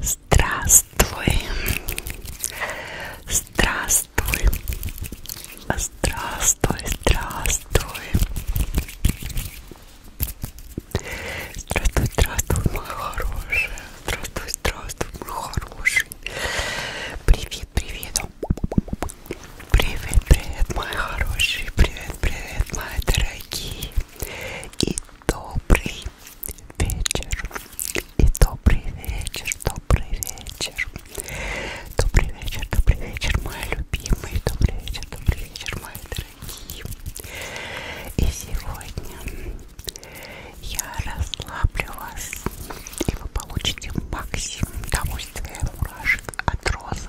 Здравствуй, здравствуй, здравствуй, здравствуй, здравствуй, здравствуй, мой хороший, здравствуй, здравствуй, мой хороший, привет, привет, привет, привет, мой хороший, привет, привет, моя дорогая дорогие, и добрый вечер, и добрый вечер, добрый вечер, добрый вечер, добрый вечер, мои любимые, добрый вечер, добрый вечер, мои дорогие. И сегодня я расслаблю вас, и вы получите максимум удовольствия мурашек от роз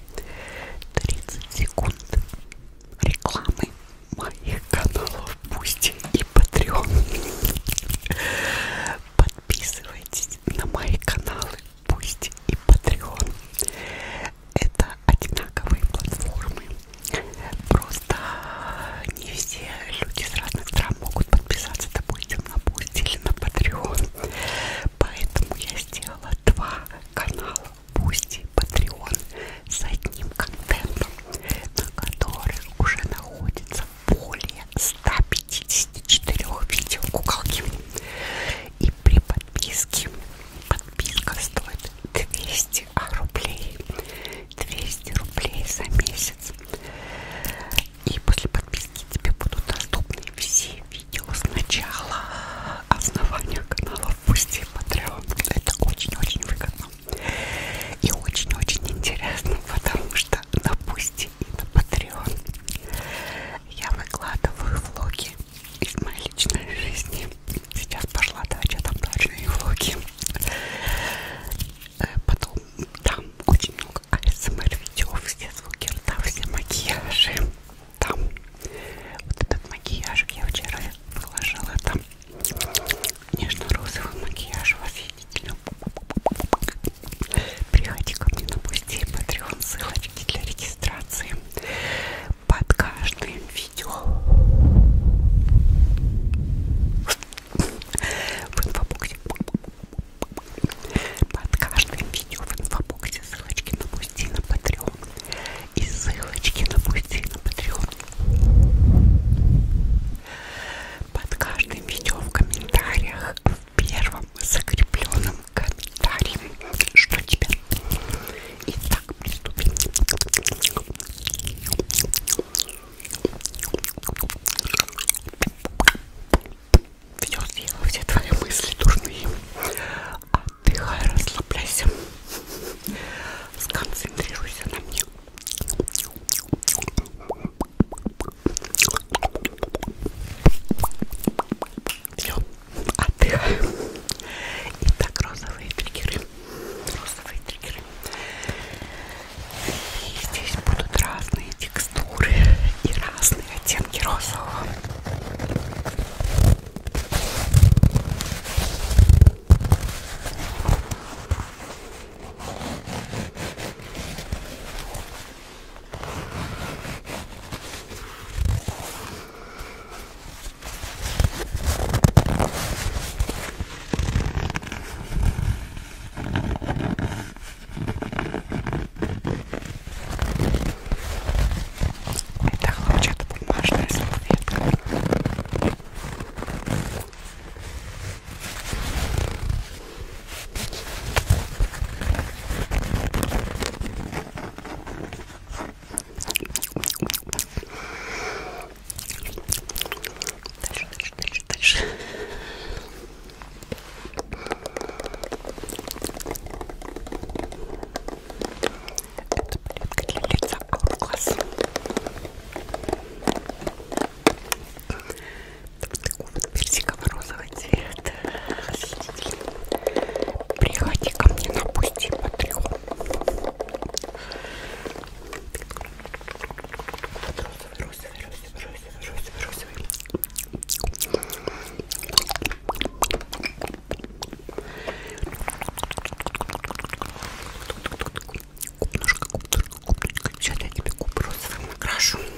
30 секунд рекламы моих каналов Бусти и Патреон. Подписывайтесь на мои каналы Бусти и Патреон. Это одинаковые платформы. Просто не все люди с разных стран могут подписаться, допустим, на Бусти или на Патреон. Поэтому я сделала два канала Бусти и Patreon с одним контентом, на которых уже находится более 154 видео куколки. И при подписке подписка стоит 200 рублей. 200 рублей за месяц. И после подписки тебе будут доступны все видео сначала основания канала в пусти Patreon. Это очень-очень выгодно и очень-очень интересно, потому что на пусти и на Patreon я выкладываю влоги из моей личной жизни. Сейчас пошла дача, там дачные влоги. Э, потом там очень много АСМР видео, все звуки рта, все макияжи там вот этот макияж я вчера положила там нежно-розовый макияж восхитительно ну, приходи ко мне на пусти патреон ссылочки для регистрации под каждым видео в инфобоксе под каждым видео в инфобоксе ссылочки на мой напусти на Patreon. И ссылочки напусти на Patreon. Под каждым видео в комментариях, в первом закрепленном комментарии, что тебе. Итак, приступим внес его все твои мысли дурные. Отдыхай, расслабляйся. Сконцентрируйся на мне. Все, отдыхай. Итак, розовые триггеры. Розовые триггеры. И здесь будут разные текстуры текстуры и разные оттенки розового. Это хлопчата бумажная салфетка. Дальше, дальше, дальше, дальше. Это плитка для лица Hourglass. Такого вот персиково-розового цвета. Приходи ко мне на пусти по трех. Розовый, розовый, розовый, розовый, розовый, розовый. Купнушка, купнушка, купнушка. Сейчас я тебе куп розовым окрашу. Давай,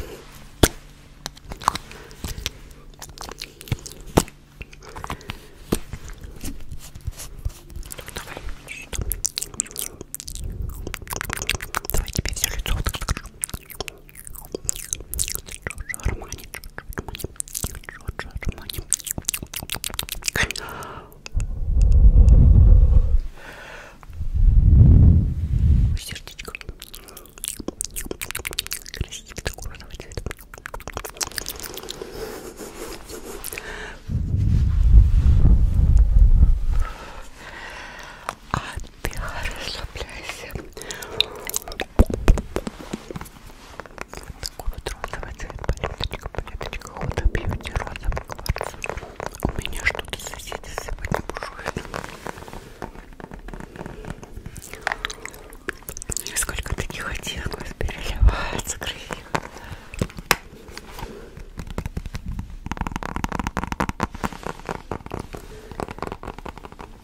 давай тебе все лицо вот так. Джорджо Армани, Джорджо Армани, Джорджо Армани. Сердечко. Красивый такой розовый цвет. Отдыхай, расслабляйся. Вот такой вот розовый цвет, палеточка, палеточка, худо бьюти, розовый кварц. У меня что-то соседи сегодня бушуют. Сколько таких оттенков переливается, красиво.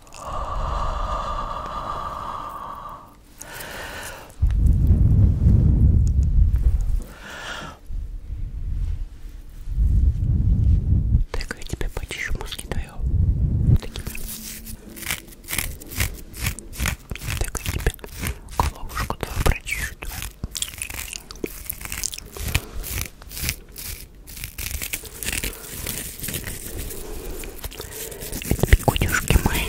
Так, я тебе почищу мозги твои. Такими. Так, я тебе головушку твою прочищу. Твою. Кутюшки мои.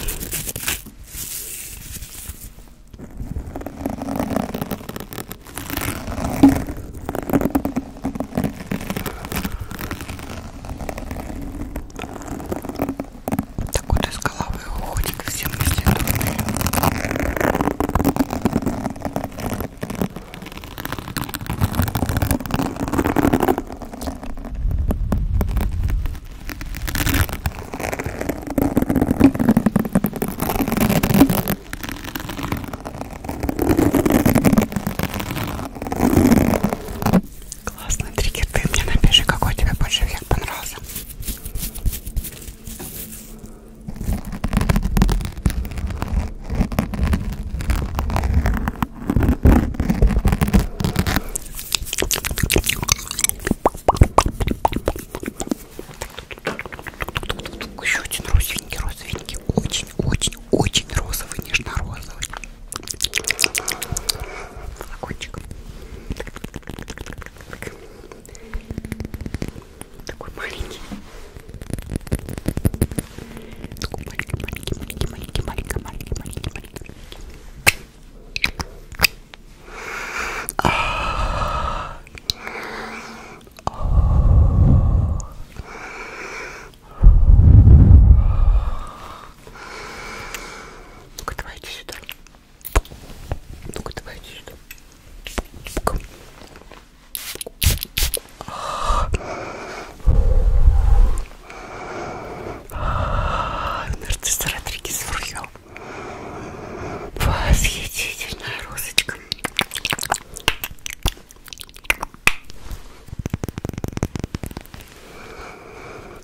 Так вот из головы уходит всем мысли. Классный триггер, ты мне напиши, какой тебе больше всех понравился. Еще один розовенький, розовенький, очень, очень, очень розовый, нежно-розовый. Флакончик. Такой маленький маленький, маленький, маленький, маленький, маленький, маленький, маленький, маленький. Ну-ка, давай иди сюда. Ну-ка, давай иди сюда. Нарцисс Родригес Фурьё. Восхитительная розочка.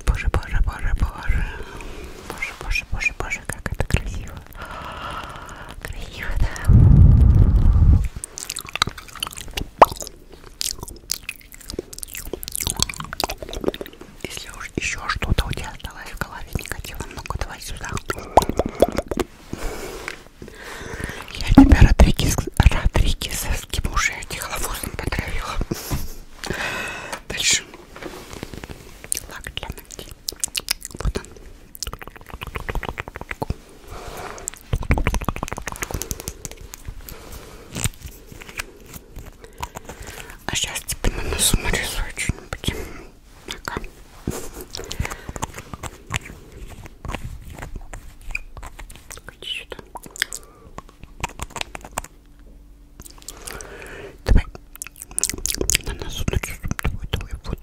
Боже, боже, боже, боже. Боже, боже, боже, боже, как это красиво. Красиво, да. Если уж еще что-то у тебя осталось в голове негатива, ну-ка давай сюда. Я тебя, Родригес, Родригеса, с кем уже тихоловозом потравила. Дальше. Лак для ногтей. Вот он. А сейчас тебе на носу нарисую что-нибудь. Пока. Иди сюда. Давай. На носу нарисую. Давай, давай. Вот,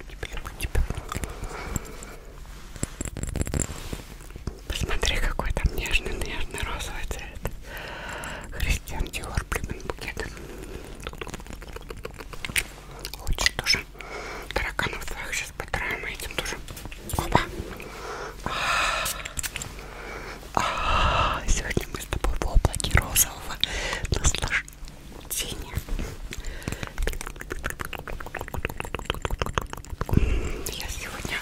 люблю тебя. Посмотри, какой там нежный-нежный розовый цвет. Христиан Диор, блин, букет. Лучше тоже тараканов своих сейчас потраем и а этим тоже. Опа! А -а -а. Сегодня мы с тобой в облаке розового наслаждения тени. Я сегодня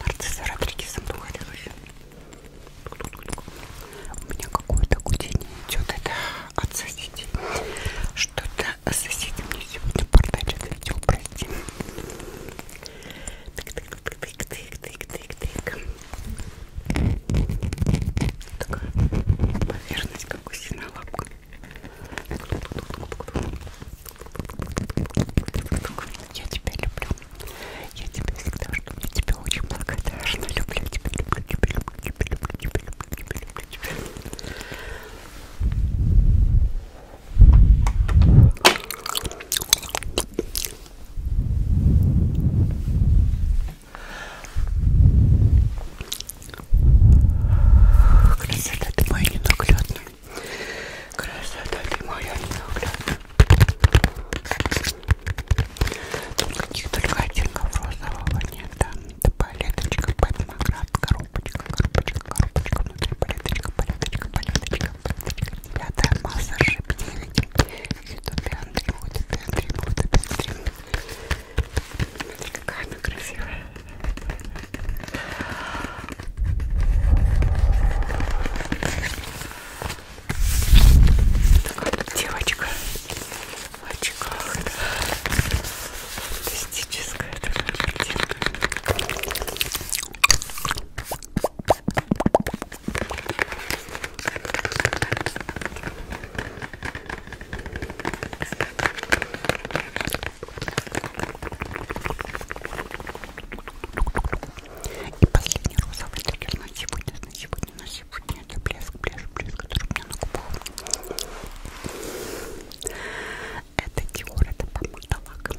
нарцисса Родригесом дуэлилась. У меня какое-то гудение идет. Это от соседей. Что-то соседи мне сегодня портачат видео, прости. Тык-тык-тык-тык-тык-тык-тык. Такая поверхность как гусиная лапка. Я тебя люблю. Я тебя всегда жду. Я тебя очень благодарна. Люблю тебя, люблю тебя, люблю тебя, люблю тебя, люблю тебя, люблю тебя. Красота ты моя ненаглядная. Красота ты моя ненаглядная. Тут каких-то только оттенков розового нет. Да? Это палеточка, подмаград, коробочка, коробочка, коробочка. Внутри палеточка, палеточка, палеточка, палеточка. Пятая масса шипневики. Ютубе Андрей будет, Андрей будет, Андрей. Какая она красивая. Такая девочка в очках. Да. Фантастическая такая картинка. И последний розовый триггер на сегодня, на сегодня, на сегодня это блеск, блеск, блеск, который у меня на губах. Это Dior, это помада лак.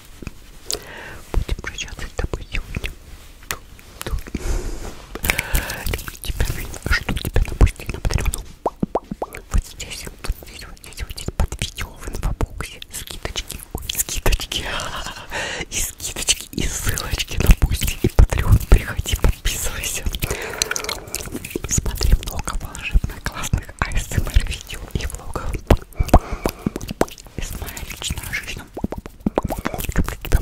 Будем прощаться с тобой сегодня. Люблю тебя, жду тебя на пусте на Патреону. Вот здесь, вот здесь, вот здесь, вот здесь под видео в инфобоксе скидочки, ой, скидочки, и скидочки, и ссылочки на пусте и Патреон. Приходи, подписывайся. Смотри много волшебных, классных АСМР видео и влогов. Это моя личная жизнь. Люблю тебя.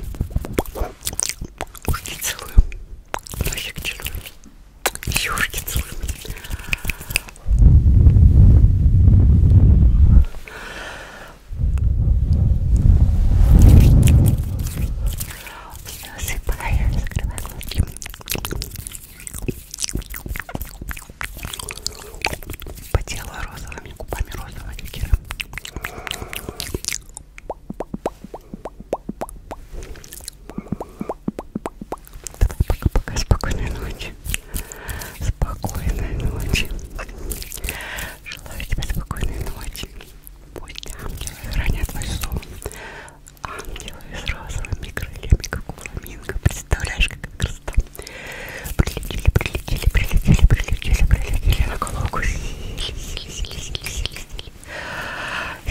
Ушки целую. Носик целую. И ушки целую. Слезы, пока я закрываю глазки. Потела розовыми губами розового ликера. Давай пока-пока, спокойной ночи. Спокойной ночи. Желаю тебе спокойной ночи. Пусть ангелы хранят твой сон ангелы с розовыми крыльями, как у фламинго. Представляешь, как красота. Прилетели, прилетели, прилетели, прилетели, прилетели на голову. Сели, сели, сели, сели, сели, сели,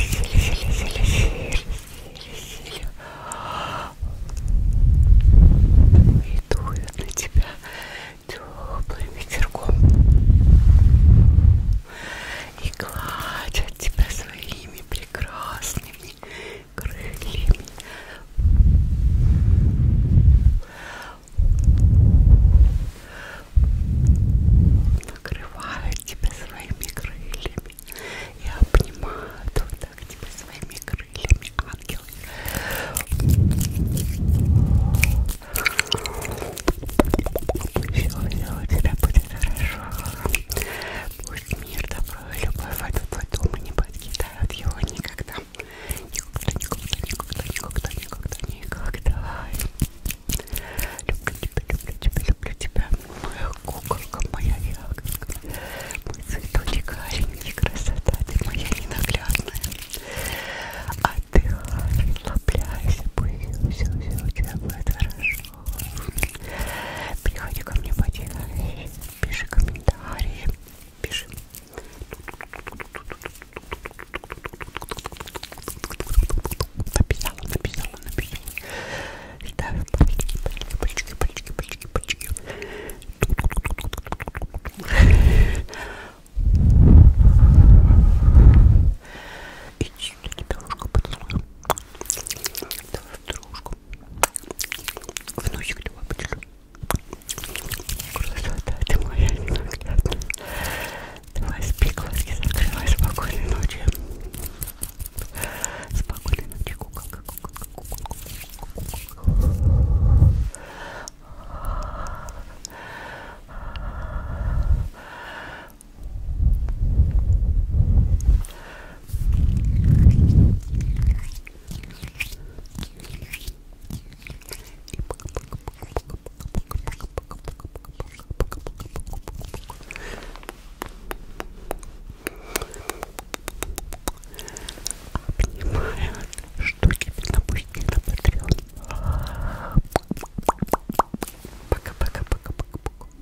сели, сели, сели, сели, сели. И дует на тебя теплым ветерком. И гладят тебя своими прекрасными крыльями. Накрывают тебя своими крыльями и обнимают вот так тебя своими крыльями, ангелы. Все, все у тебя будет хорошо. Пусть мир, добро и любовь, от Платона не подкидают его никогда. Никогда, никогда, никогда, никогда, никогда, никогда. Люблю тебя, люблю тебя, люблю тебя, моя куколка, моя ягодка, мой цветочек аленький, красота, ты моя ненаглядная. Отдыхай, расслабляйся, пусть все, все у тебя будет хорошо. Приходи ко мне потихо, пиши комментарии, пиши. Написала, написала, написала. Ставь пальчики, пальчики, пальчики, пальчики, пальчики. И все-таки дорожку поцелую. Давай в дорожку. В носик давай поцелую. Красота, ты моя ненаглядная. Давай спи, глазки закрывай. Спокойной ночи. Спокойной ночи, куколка, куколка, куколка, куколка. Обнимаю штуки напустим на Patreon. Пока-пока-пока-пока-пока.